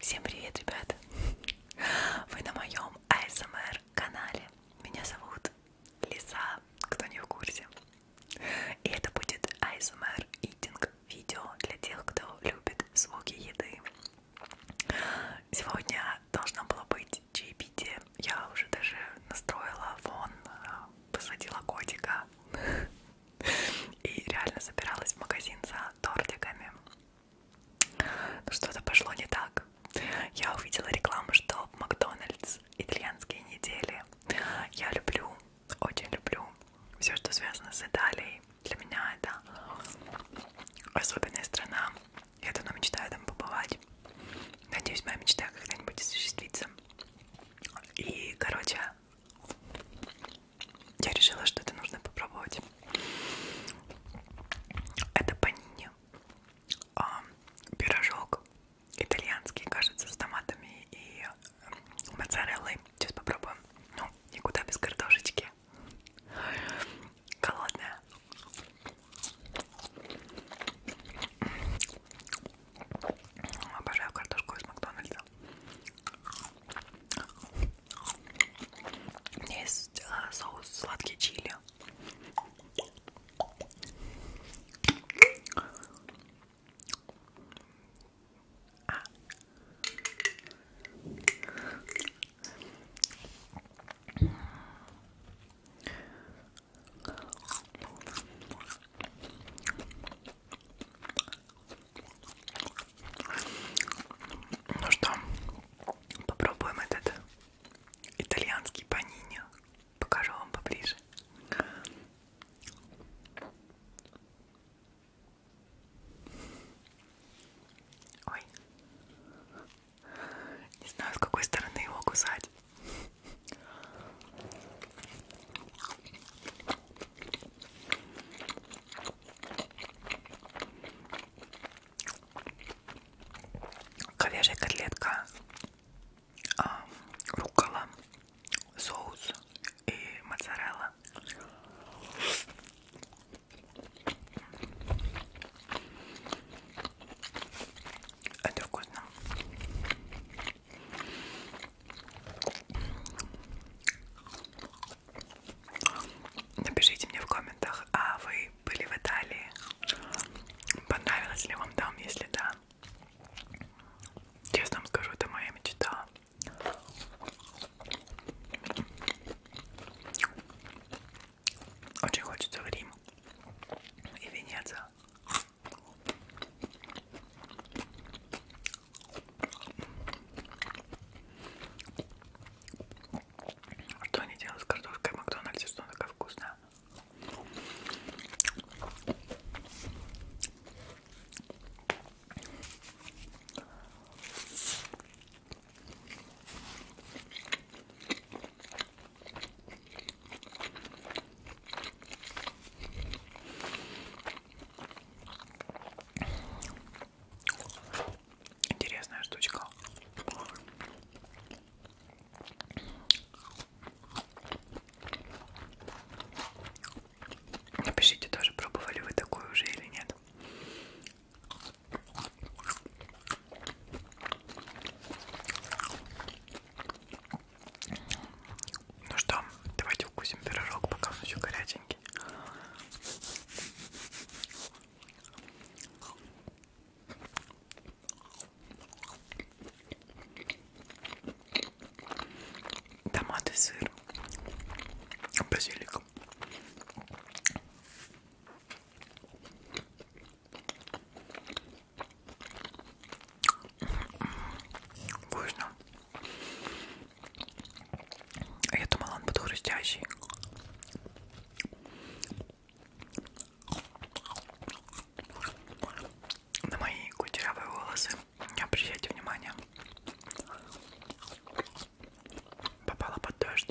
Всем привет, ребята! Вы на моем АСМР канале. Меня зовут Лиза, кто не в курсе. И это будет ASMR Eating видео для тех, кто любит звуки еды. Сегодня должно было быть чаепитие. Я уже даже настроила фон, э, посадила котика и реально собиралась в магазин за тортиками. Но что-то пошло не так. Я увидела рекламу, что в Макдональдс итальянские недели. Я люблю очень люблю все, что связано с Италией. Для меня это особенная страна. Я давно мечтаю там побывать. Надеюсь, моя мечта когда-нибудь осуществится. И, короче, я решила, что это нужно попробовать. Это панини. А, пирожок итальянский, кажется, с томатами и э, моцареллой. Сейчас попробуем. Ну, никуда без картошечки. Голодная. Обожаю картошку из Макдональдса. У меня есть э, соус сладкий чили. А. Ну что, попробуем этот итальянский панини покажу вам поближе. Ой. Не знаю, с какой стороны его кусать. Ковяжья котлетка а, руккола, соус и моцарелла. Это вкусно. Напишите мне в комментах, а вы были в Италии? Понравилось ли вам там? Если да, Честно вам скажу, это моя мечта. Очень хочется в Рим и Венецию. Что они делают с картошкой в Макдональдсе, что она такая вкусная? Интересная штучка. Напишите тоже, пробовали вы такое уже или нет. Ну что, давайте укусим пирожок, пока он еще горяченький. Томаты, сыр, базилик. Вкусно. Я думала, он был хрустящий. На мои кучерявые волосы не обращайте внимания. Попала под дождь.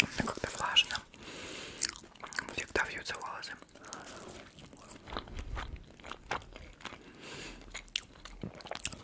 Ну, как-то влажно. Всегда вьются волосы.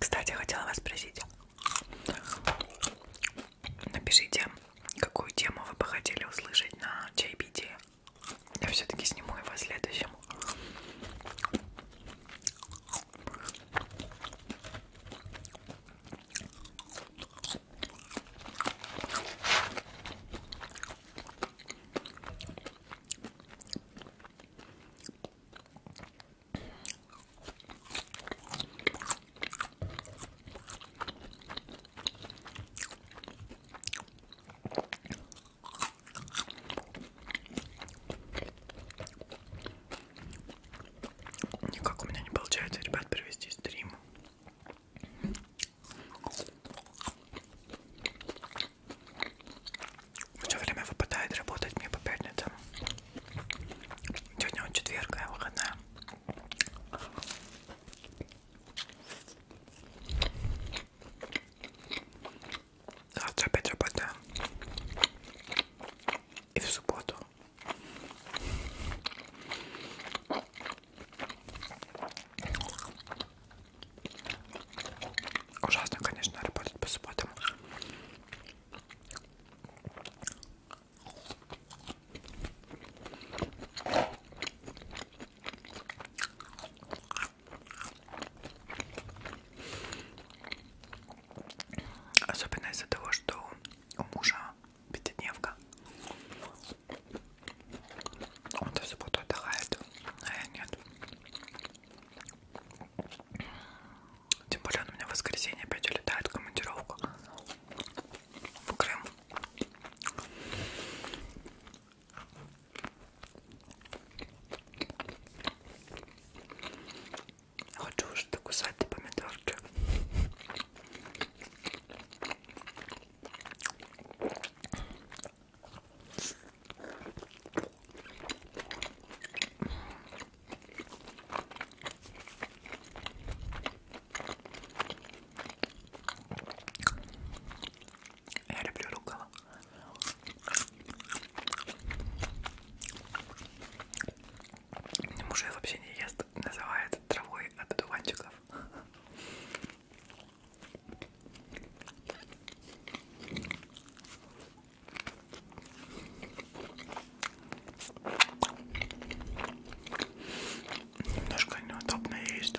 Кстати, хотела вас спросить. Напишите, какую тему вы бы хотели услышать на чайпитии. Я все-таки сниму его следующим. Никак у меня не получается, ребят, провести стрим. Все время выпадает работать мне по пятницам. Сегодня он четверг, а я выходная. Завтра опять работаю. И в субботу. Ужасно, конечно, работать по субботам. Особенно из-за того, что у мужа пятидневка. Он-то все будет отдыхает, а я нет. Тем более он у меня в воскресенье опять улетает в командировку в Крым. Хочу уже докусать помидорки. Типа, я люблю рукава. Муж ее вообще не ест, называет травой от одуванчиков. Немножко неудобно есть.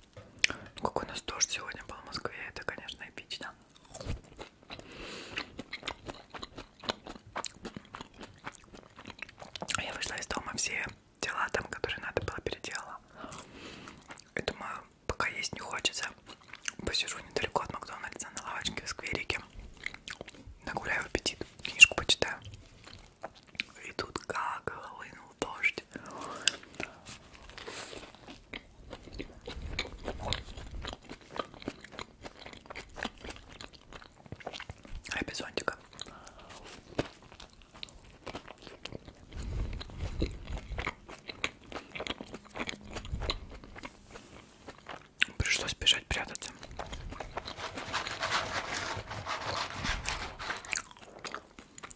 Какой у нас дождь сегодня был в Москве, это, конечно, эпично. Я вышла из дома, все дела там, которые надо было, переделала. И думаю, пока есть не хочется, посижу недалеко от Макдональдса на лавочке в скверике. Нагуляю аппетит, книжку почитаю. И тут как хлынул дождь. А без зонтика. Пришлось бежать прятаться.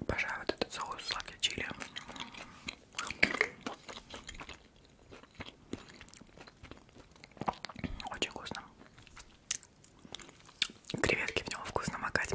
Обожаю вот этот соус сладкий чили. Очень вкусно. Креветки в него вкусно макать.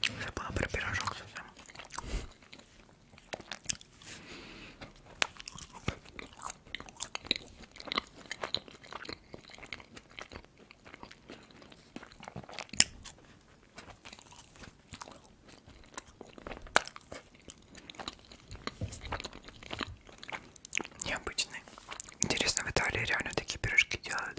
Забыла про пирожок совсем. Необычный. Интересно, в Италии реально такие пирожки делают.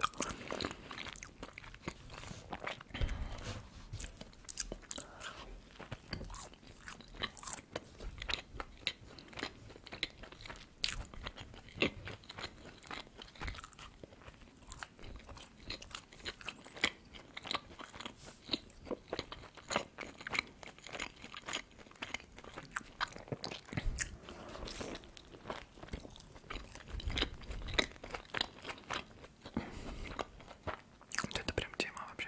Вот это прям тема вообще.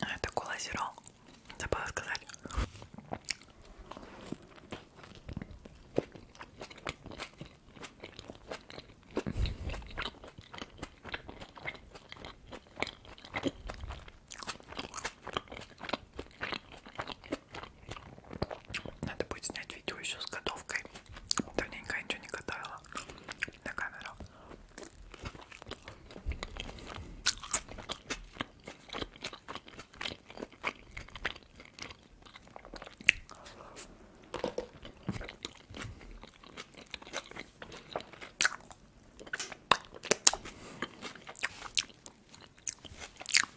А, это колозерол, забыла сказать. Надо будет снять видео еще с готовкой. Давненько я ничего не готовила на камеру.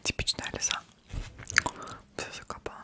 Типичная леса. Все закопала.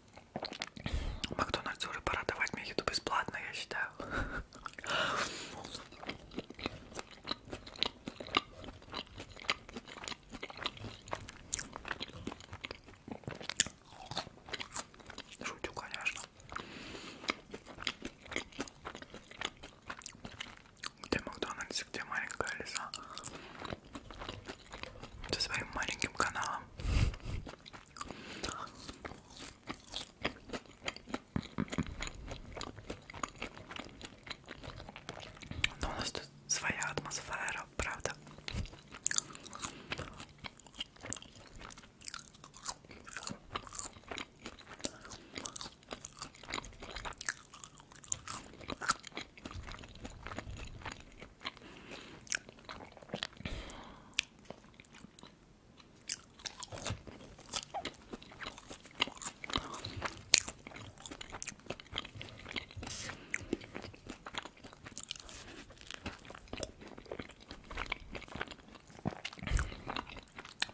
Макдональдс уже пора давать мне еду бесплатно, я считаю. Шутю, конечно. Где Макдональдс, где маленькая лиса? Со своим маленьким каналом. Но ну, у нас тут своя атмосфера, правда?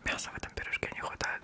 Мяса в этом пирожке не хватает.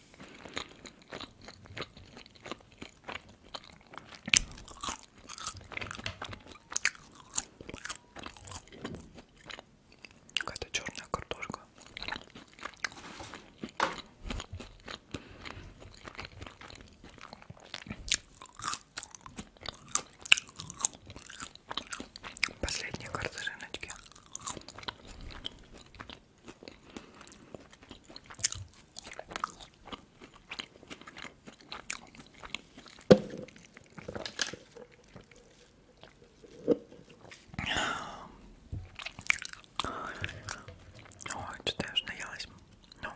Какая-то черная картошка. Последние карты рыночки. Ой, что-то я уже наелась. Ну,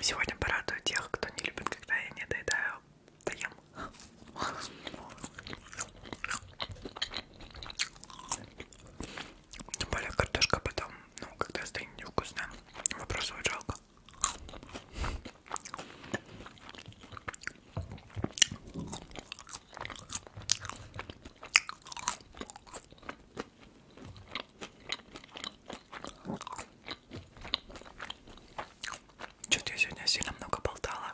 сегодня порадую тех, кто не любит, когда я не доедаю, доем. Тем более картошка потом, ну, когда станет невкусная, выбрасывать жалко. Что-то я сегодня сильно много болтала.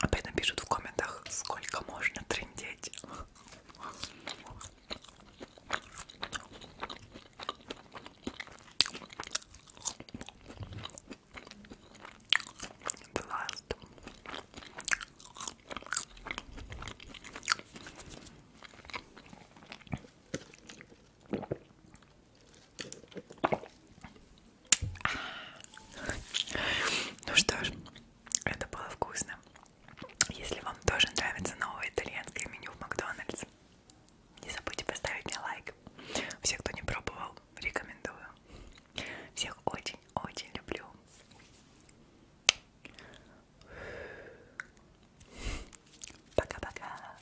Опять напишут в комментах, сколько можно трындеть. The last. Ну что ж, это было вкусно. Если вам тоже нравится новое итальянское меню в Макдональдс, не забудьте поставить мне лайк. Все, кто не пробовал, рекомендую. Всех очень-очень люблю. Пока-пока.